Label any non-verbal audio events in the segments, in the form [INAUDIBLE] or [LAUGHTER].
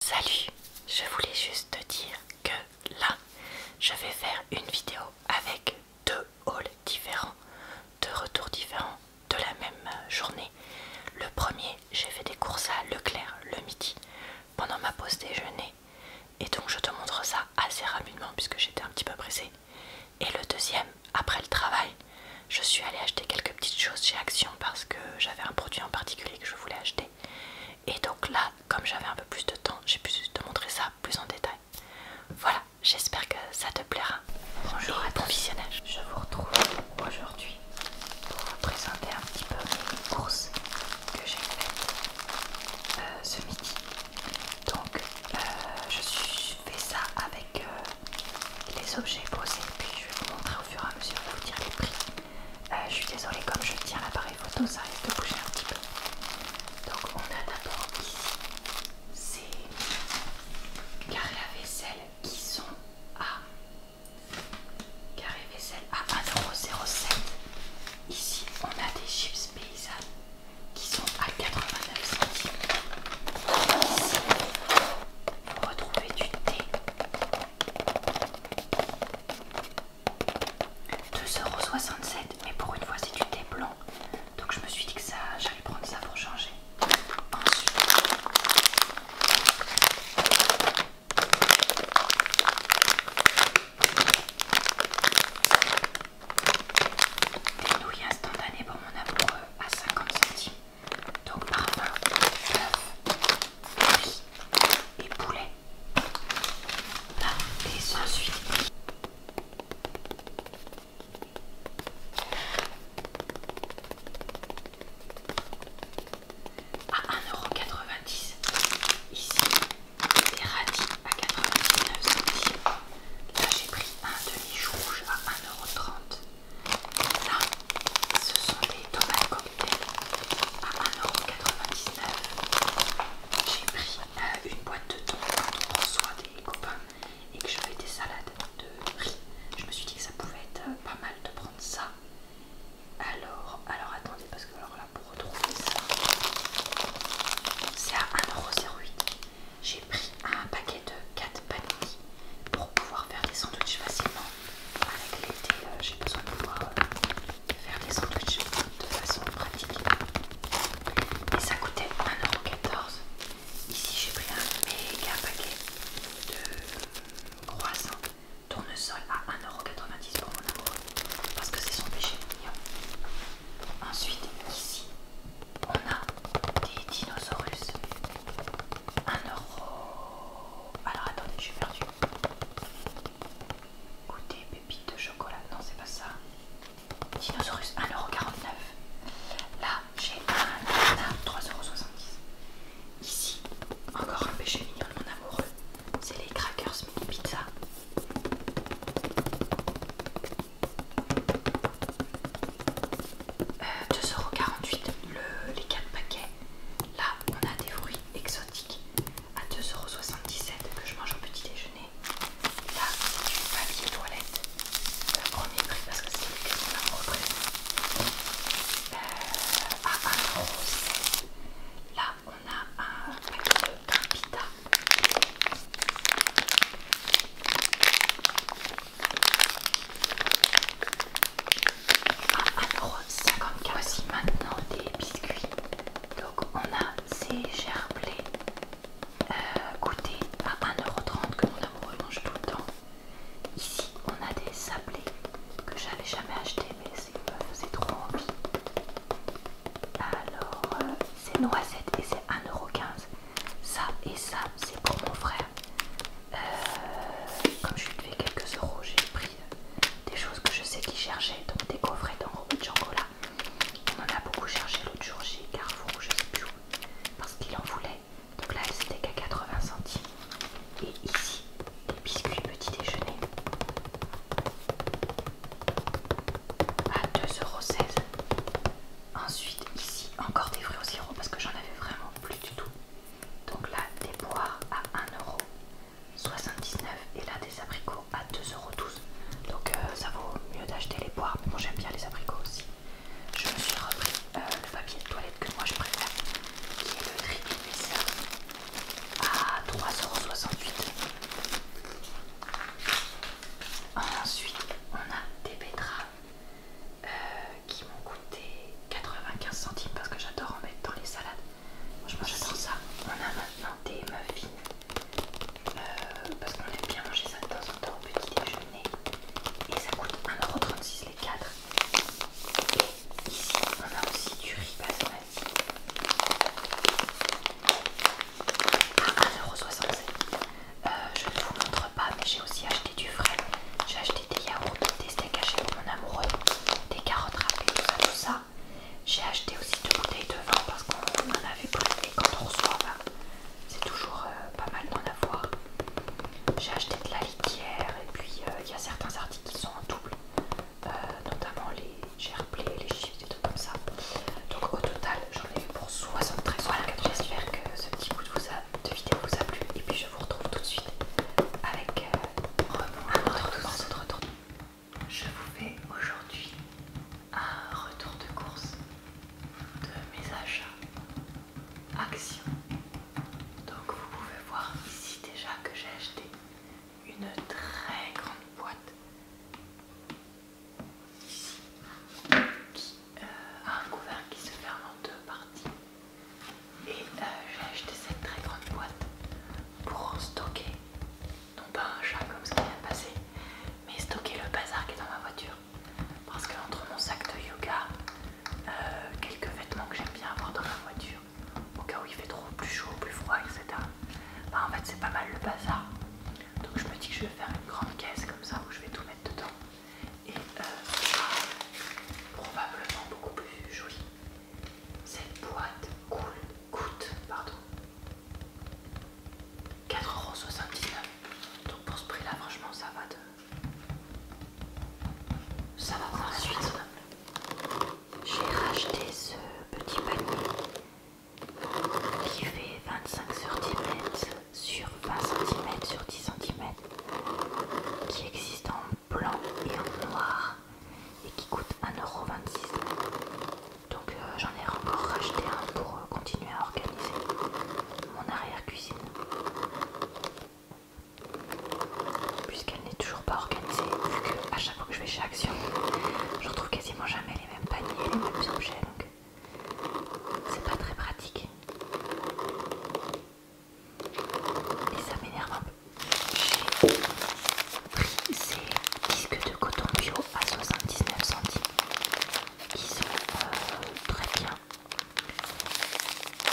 Salut, je voulais juste te dire que là, je vais faire une vidéo avec deux hauls différents, deux retours différents de la même journée. Le premier, j'ai fait des courses à Leclerc le midi pendant ma pause déjeuner et donc je te montre ça assez rapidement puisque j'étais un petit peu pressée. Et le deuxième, après le travail, je suis allée acheter quelques petites choses chez Action parce que j'avais un produit en particulier que je voulais acheter et donc là, comme j'avais un peu plus de temps, j'ai pu te montrer ça plus en détail. Voilà, j'espère que ça te plaira. Bonjour à ton visionnage. Je vous retrouve aujourd'hui pour vous présenter un petit peu les courses que j'ai faites euh, ce midi. Donc, euh, je suis fait ça avec euh, les objets posés, puis je vais vous montrer au fur et à mesure vous dire les prix. Euh, je suis désolée, comme je tiens l'appareil photo, ça risque de bouger un petit peu. Donc, on a d'abord ici ces carrés à vaisselle qui sont à carré vaisselle à 1,07€. Ici, on a des chips paysannes qui sont à 89 centimes. Ici, vous retrouvez du thé 2,67€, mais pour une fois c'est du thé blanc. Donc je me suis dit que ça j'allais prendre ça pour changer. Ensuite. Des nouilles instantanées pour mon amoureux à 50 centimes. Donc parfum, oeuf, riz et poulet. Là, et ensuite. À 1,90€. Ici, des radis à 99 centimes. Là, j'ai pris un demi rouge à 1,30€. Là, ce sont des tomates cocktail à 1,99€. J'ai pris euh, une boîte de tomates quand on des copains et que je fais des salades de riz. Je me suis dit que ça pouvait être euh, pas mal de prendre ça. Alors, alors attendez, parce que alors là pour retrouver ça, c'est à 1,08€. J'ai pris un paquet de 4 paninis pouvoir faire des sandwichs facilement. Avec l'été, euh, j'ai besoin de pouvoir euh, faire des sandwichs de façon pratique. Et ça coûtait 1,14€. Ici, j'ai pris un méga paquet de euh, croissants tournesol à 1,90€ pour mon amour parce que c'est son péché Ensuite, ici, on a des dinosaures. euro alors attendez, je suis perdue. Goûter pépites de chocolat. Non, c'est pas ça. Dinosaurus 1,49€. Là, j'ai un 3,70€. Ici, encore un péché mignon de mon amoureux. C'est les crackers mini pizza. 2,48€ euh, les 4 paquets. Là, on a des fruits exotiques à 2,77€ que je mange au petit déjeuner. Là, c'est du papier toilette. On premier prix parce que c'est le prix qu'on a euh, à Là, on a un paquet de a Voici maintenant des biscuits. Donc on a ces gerblés euh, Écoutez, à 1,30€ que mon amour mange tout le temps. Ici on a des sablés que j'avais jamais acheté mais euh, c'est trop envie. Alors euh, c'est noisette et c'est 1,15€. Ça et ça c'est pour mon frère euh, comme je lui fait quelques euros, j'ai pris des choses que je sais qu'il cherchait, donc des coffrets d'enrobés de là. On en a beaucoup cherché l'autre jour chez Carrefour, je sais plus où, parce qu'il en voulait. Donc là, c'était qu'à 80 centimes. Et ici, des biscuits petit déjeuner à 2,16€. Ensuite, ici, encore des fruits au sirop parce que j'en avais vraiment plus du tout. Donc là, des poires à 1,79€ et là, des abricots à 2,12€. Donc euh, ça vaut mieux d'acheter les poires, mais bon, j'aime bien les abricots aussi. Je me suis repris euh, le papier de toilette que moi je préfère, qui est le triple à 3,68€. Ensuite, on a des betteraves euh, qui m'ont coûté 95 centimes parce que j'adore en mettre dans les salades. Franchement, j'adore ça. On a maintenant des muffins euh, parce qu'on aime bien manger ça de temps en temps au petit déjeuner et ça coûte 1,36€ les 4. Et ici, on a aussi du riz basmati à 1,67€. Euh, je vous montrer pas mais j'ai aussi acheté du frais. J'ai acheté des yaourts, des steaks hachés pour mon amoureux, des carottes râpées, tout ça, tout ça. J'ai acheté aussi deux bouteilles de vin parce qu'on en avait plus et quand on reçoit, ben, c'est toujours euh, pas mal d'en avoir. J'ai acheté de la litière et puis euh, il y a certains articles qui sont en double, euh, notamment les gerblés, les chiffres, et tout comme ça. Donc au total, j'en ai eu pour 73 Voilà, j'espère que ce petit bout de, vous vidéo vous a plu et puis je vous retrouve tout de suite avec euh, Je vous fais aujourd'hui un retour de course de mes achats Action. Donc vous pouvez voir ici déjà que j'ai acheté une très grande boîte ici euh, à un couvert qui se ferme en deux parties. Et euh, j'ai acheté cette très grande boîte pour stocker, non pas un chat comme ce qui vient de passer, mais stocker le bazar qui est dans ma voiture. Parce que entre mon sac de yoga, euh, quelques vêtements que j'aime bien avoir dans ma voiture, au cas où il fait trop plus chaud, plus froid, etc. Bah, en fait c'est pas mal le bazar. Donc je me dis que je vais faire une grande caisse comme ça où je vais tout mettre dedans et euh, probablement beaucoup plus jolie. Cette boîte coûte pardon 4,79€. Donc pour ce prix là franchement ça va de... Ça va J'ai racheté ce petit panier qui fait 25 cm sur 20 cm sur 10 cm qui existe en blanc et en noir et qui coûte 1,26€. Donc euh, j'en ai encore racheté un pour euh, continuer à organiser mon arrière-cuisine. Puisqu'elle n'est toujours pas organisée, vu que à chaque fois que je vais chez Action, [LAUGHS] je retrouve quasiment jamais les mêmes paniers, les mêmes objets c'est pas très pratique et ça m'énerve un peu. J'ai pris ces disques de coton bio à 79 centimes qui sont euh, très bien,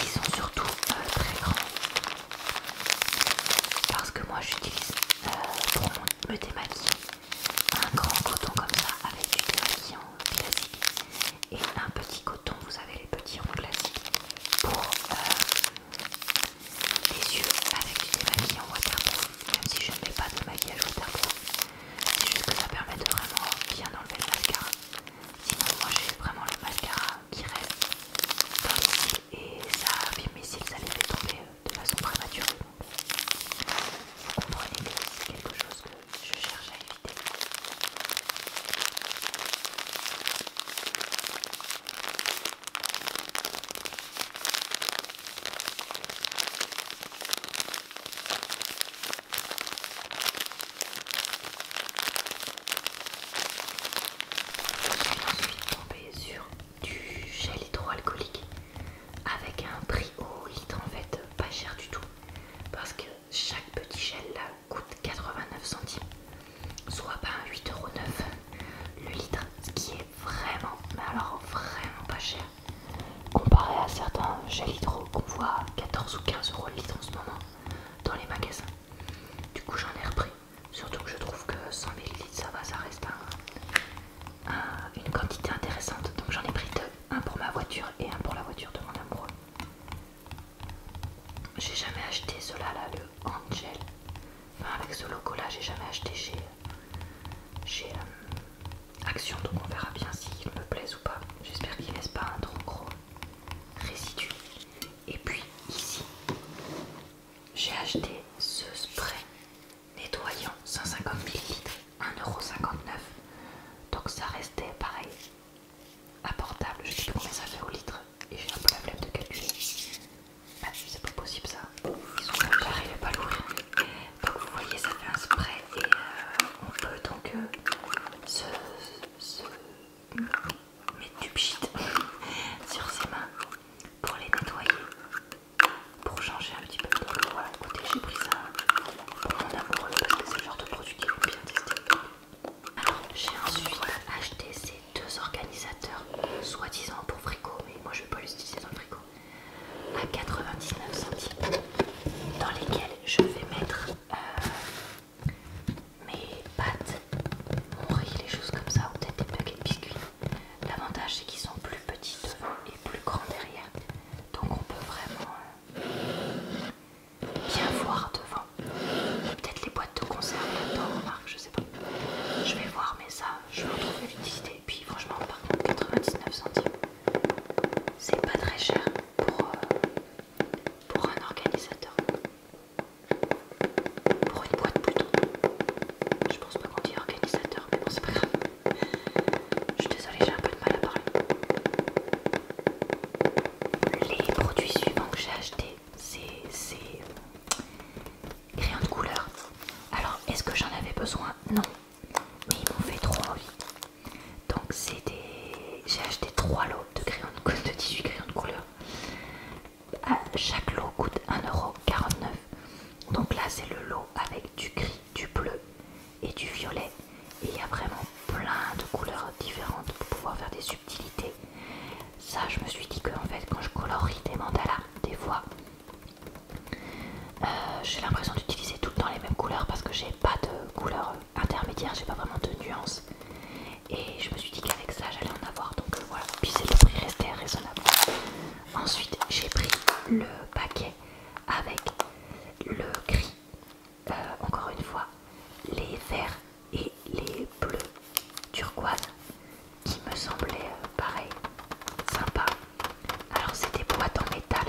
qui sont surtout euh, très grands parce que moi j'utilise euh, pour me démaquiller un grand coton comme ça avec du démaquillant classique et un petit coton, vous avez les petits ronds classiques pour euh, les yeux avec du en waterproof, même si je ne mets pas de maquillage waterproof, c'est juste que ça permet de vraiment bien enlever le mascara. Sinon moi j'ai vraiment le mascara qui reste dans les cils et ça fait mes cils, ça les fait tomber euh, de façon prématurée. Vous comprenez c'est quelque chose que je cherchais je suis tombé sur du gel hydroalcoolique avec un prix au litre en fait, pas cher du tout parce que chaque petit gel là coûte 89 centimes, soit pas ben 8,9€ le litre, ce qui est vraiment, mais alors vraiment pas cher comparé à certains gels hydro qu'on voit à 14 ou 15 euros le litre en ce moment dans les magasins. Du coup, j'en ai repris, surtout que je trouve que 100 ml ça va, ça reste une quantité intéressante donc j'en ai pris deux un pour ma voiture et un pour la voiture de mon amoureux. J'ai jamais acheté cela là, le Angel. Enfin, avec ce logo là, j'ai jamais acheté chez, euh, Action, donc on verra bien s'il me plaise ou pas. J'espère qu'il laisse pas un trop gros résidu. Et puis ici, j'ai acheté ce spray nettoyant 150 ml 1,59€. Donc ça restait pareil. portable, Je sais pas combien ça fait au litre. Et j'ai un peu la flemme de calculer. Bah, c'est pas possible ça. j'arrivais pas à l'ouvrir. Donc vous voyez, ça fait un spray et euh, on peut donc euh, se, mettre du pchit [LAUGHS] sur ses mains pour les nettoyer, pour changer un voilà, écoutez, j'ai pris ça pour mon amoureux parce que c'est le genre de produit qu'il bien tester. Alors, j'ai ensuite acheté ces deux organisateurs, soi-disant pour frigo, mais moi je vais pas les utiliser dans le frigo, à 99 centimes, dans lesquels je vais mettre euh, mes pâtes, mon riz, les choses comme ça, ou peut-être des paquets biscuits. L'avantage c'est qu'ils sont plus petits devant et plus grands derrière, donc on peut vraiment euh, bien voir devant. Peut-être les boîtes de conserve pas remarque, je sais pas. Je vais voir, mais ça, je vais retrouver l'utilité. Et puis franchement, par contre, 99 centimes, c'est pas très cher pour, euh, pour un organisateur. Pour une boîte plutôt. Je pense pas qu'on dit organisateur, mais bon, c'est pas grave. Je suis désolée, j'ai un peu de mal à parler. Les produits suivants que j'ai achetés, c'est crayons de couleur. Alors, est-ce que j'en avais besoin Non, mais ils m'ont fait trop envie. Donc, j'ai acheté 3 lots de, crayons de... 18 crayons de couleur. chaque lot coûte 1,49€. Donc là, c'est le lot avec du gris, du bleu, et du violet. Et il y a vraiment plein de couleurs différentes pour pouvoir faire des subtilités. Ça, je me suis dit que en fait, quand je colorie des mandalas, des fois, euh, j'ai l'impression d'utiliser tout le temps les mêmes couleurs parce que j'ai pas de couleurs intermédiaire, j'ai pas vraiment de nuances. Et je me suis dit qu'avec ça, j'allais en avoir. Donc voilà. Puis c'est le prix restait raisonnable. Ensuite, j'ai pris le paquet avec le gris, euh, encore une fois, les verts et les bleus turquoise qui me semblait euh, pareil, sympa. Alors c'est des boîtes en métal.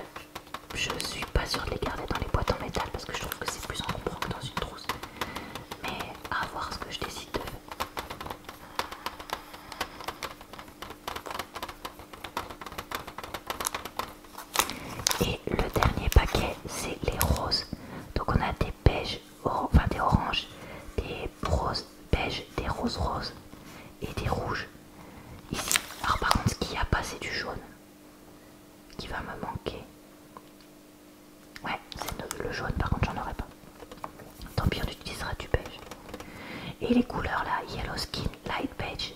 Je suis pas sûre de les garder dans les boîtes en métal parce que je trouve que c'est plus encombrant que dans une trousse. Mais à voir ce que je décide de faire. Et le dernier paquet, c'est les roses. Donc on a des beiges, enfin des oranges, des roses beiges, des roses roses et des rouges. Ici, alors par contre, ce qu'il n'y a pas, c'est du jaune qui va me manquer. Ouais, c'est le jaune, par contre, j'en aurai pas. Tant pis, on utilisera du beige. Et les couleurs là, Yellow Skin, Light Beige,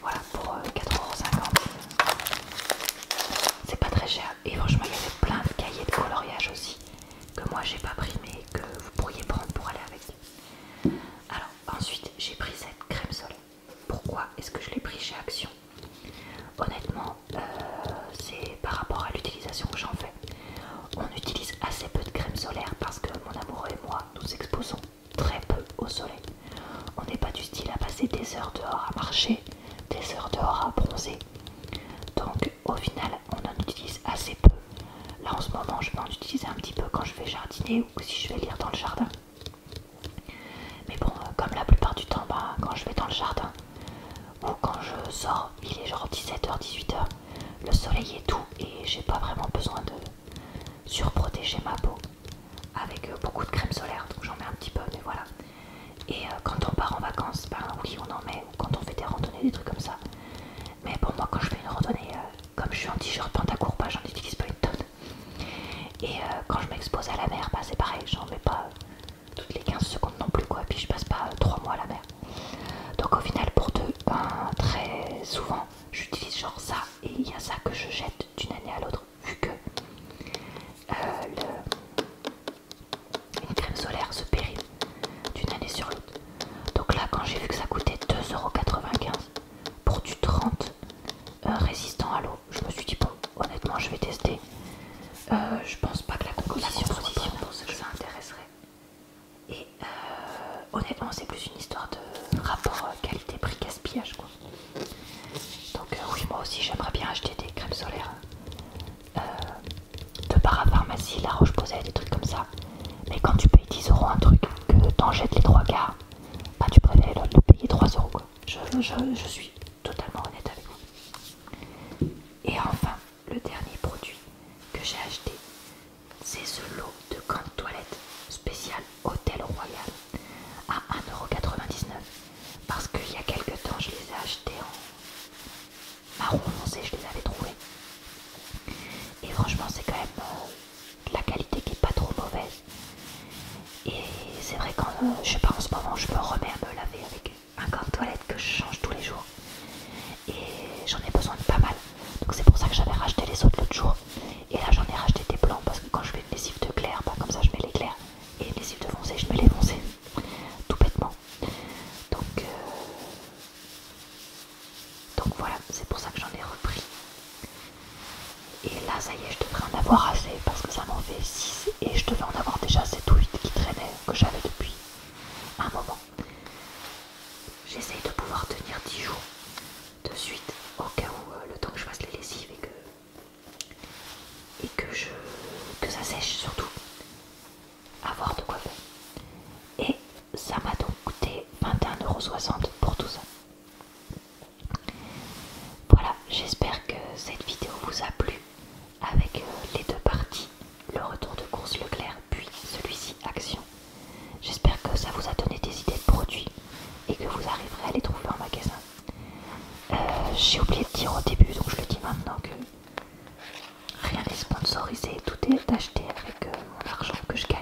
voilà pour 4,50€. Euh, c'est pas très cher. Et franchement, il y avait plein de cahiers de coloriage aussi que moi j'ai pas pris mais que vous pourriez prendre pour aller avec. Alors ensuite j'ai pris cette crème solaire. Pourquoi est-ce que je l'ai pris chez Action Honnêtement, euh, c'est par rapport à l'utilisation que j'en fais. On utilise assez peu de crème solaire parce que mon amoureux et moi nous exposons très peu au soleil. On n'est pas du style à passer des heures dehors à marcher, des heures dehors à bronzer. Donc au final, on en utilise assez peu. Là en ce moment, je vais en utiliser un petit peu quand je vais jardiner ou si je vais lire dans le jardin. Mais bon, euh, comme la plupart du temps, bah, quand je vais dans le jardin ou quand je sors, il est genre 17h, 18h, le soleil est tout et j'ai pas vraiment besoin de surprotéger ma peau avec euh, beaucoup de crème solaire, donc j'en mets un petit peu, mais voilà. Et euh, quand on part en vacances, ben oui, on en met, quand on fait des randonnées, des trucs comme ça. Mais pour moi, quand je fais une randonnée, euh, comme je suis en t-shirt pantacourt, pas, bah, j'en utilise pas une tonne. Et quand je m'expose à la mer, bah, c'est pareil, j'en mets pas toutes les 15 secondes non plus, quoi. Puis je passe pas 3 mois à la mer. Donc au final, pour deux, ben, très souvent, j'utilise genre ça et il y a ça que je jette d'une année à l'autre vu que euh, une crème solaire se pérille d'une année sur l'autre. Donc là quand j'ai vu que ça coûtait 2,95€ pour du 30 euh, résistant à l'eau, je me suis dit bon honnêtement je vais tester. Euh, je pense pas que la composition, bonne, pour que ça intéresserait. Et euh, honnêtement, c'est plus une histoire de rapport euh, qualité-prix gaspillage quoi. Donc euh, oui, moi aussi j'aimerais bien acheter des crèmes solaires de parapharmacie, la Roche-Posay, des trucs comme ça. Mais quand tu payes 10 euros un truc, que t'en jettes les trois quarts, bah tu préfères de payer 3 euros Je, je suis totalement honnête avec vous. Et enfin, le dernier produit que j'ai acheté, c'est ce lot de gants toilette spécial Hôtel Royal à 1,99€ parce qu'il y a quelques temps je les ai achetés en marron foncé, je les avais trouvés. Et franchement c'est quand même euh, la qualité qui est pas trop mauvaise. Et c'est vrai qu'en euh, je sais pas en ce moment je me remets à me laver avec un gant toilette que je change tous les jours. Et j'en ai besoin de pas mal. Donc c'est pour ça que j'avais racheté les autres l'autre jour. Et là j'en ai racheté des blancs parce que quand je fais une lessive de clair, bah, comme ça je mets les Et une lessive de foncé, je mets les foncés. Tout bêtement. Donc, euh, Donc voilà, c'est pour ça que j'en ai repris. Et là ça y est, je devrais en avoir assez parce que ça m'en fait 6 et je devais en avoir déjà 7 ou 8 qui traînaient, que j'avais depuis un moment. J'essaye de pouvoir tenir 10 jours de suite au cas où euh, le temps que je fasse les lessives et que, ça sèche surtout. Avoir de quoi faire. Et ça m'a donc coûté 21,60€ pour tout ça. Voilà, j'espère que cette vidéo vous a plu avec euh, les deux parties, le retour de course Leclerc puis celui-ci Action. J'espère que ça vous a donné des idées de produits et que vous arriverez à les trouver en magasin. Euh, j'ai oublié de dire au début, donc je le dis maintenant que rien n'est sponsorisé, tout est acheté avec euh, mon argent que je gagne,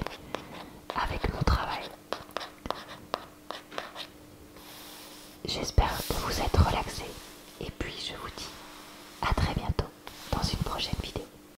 avec mon travail. J'espère que vous êtes relaxés et puis je vous dis à très bientôt dans une prochaine vidéo.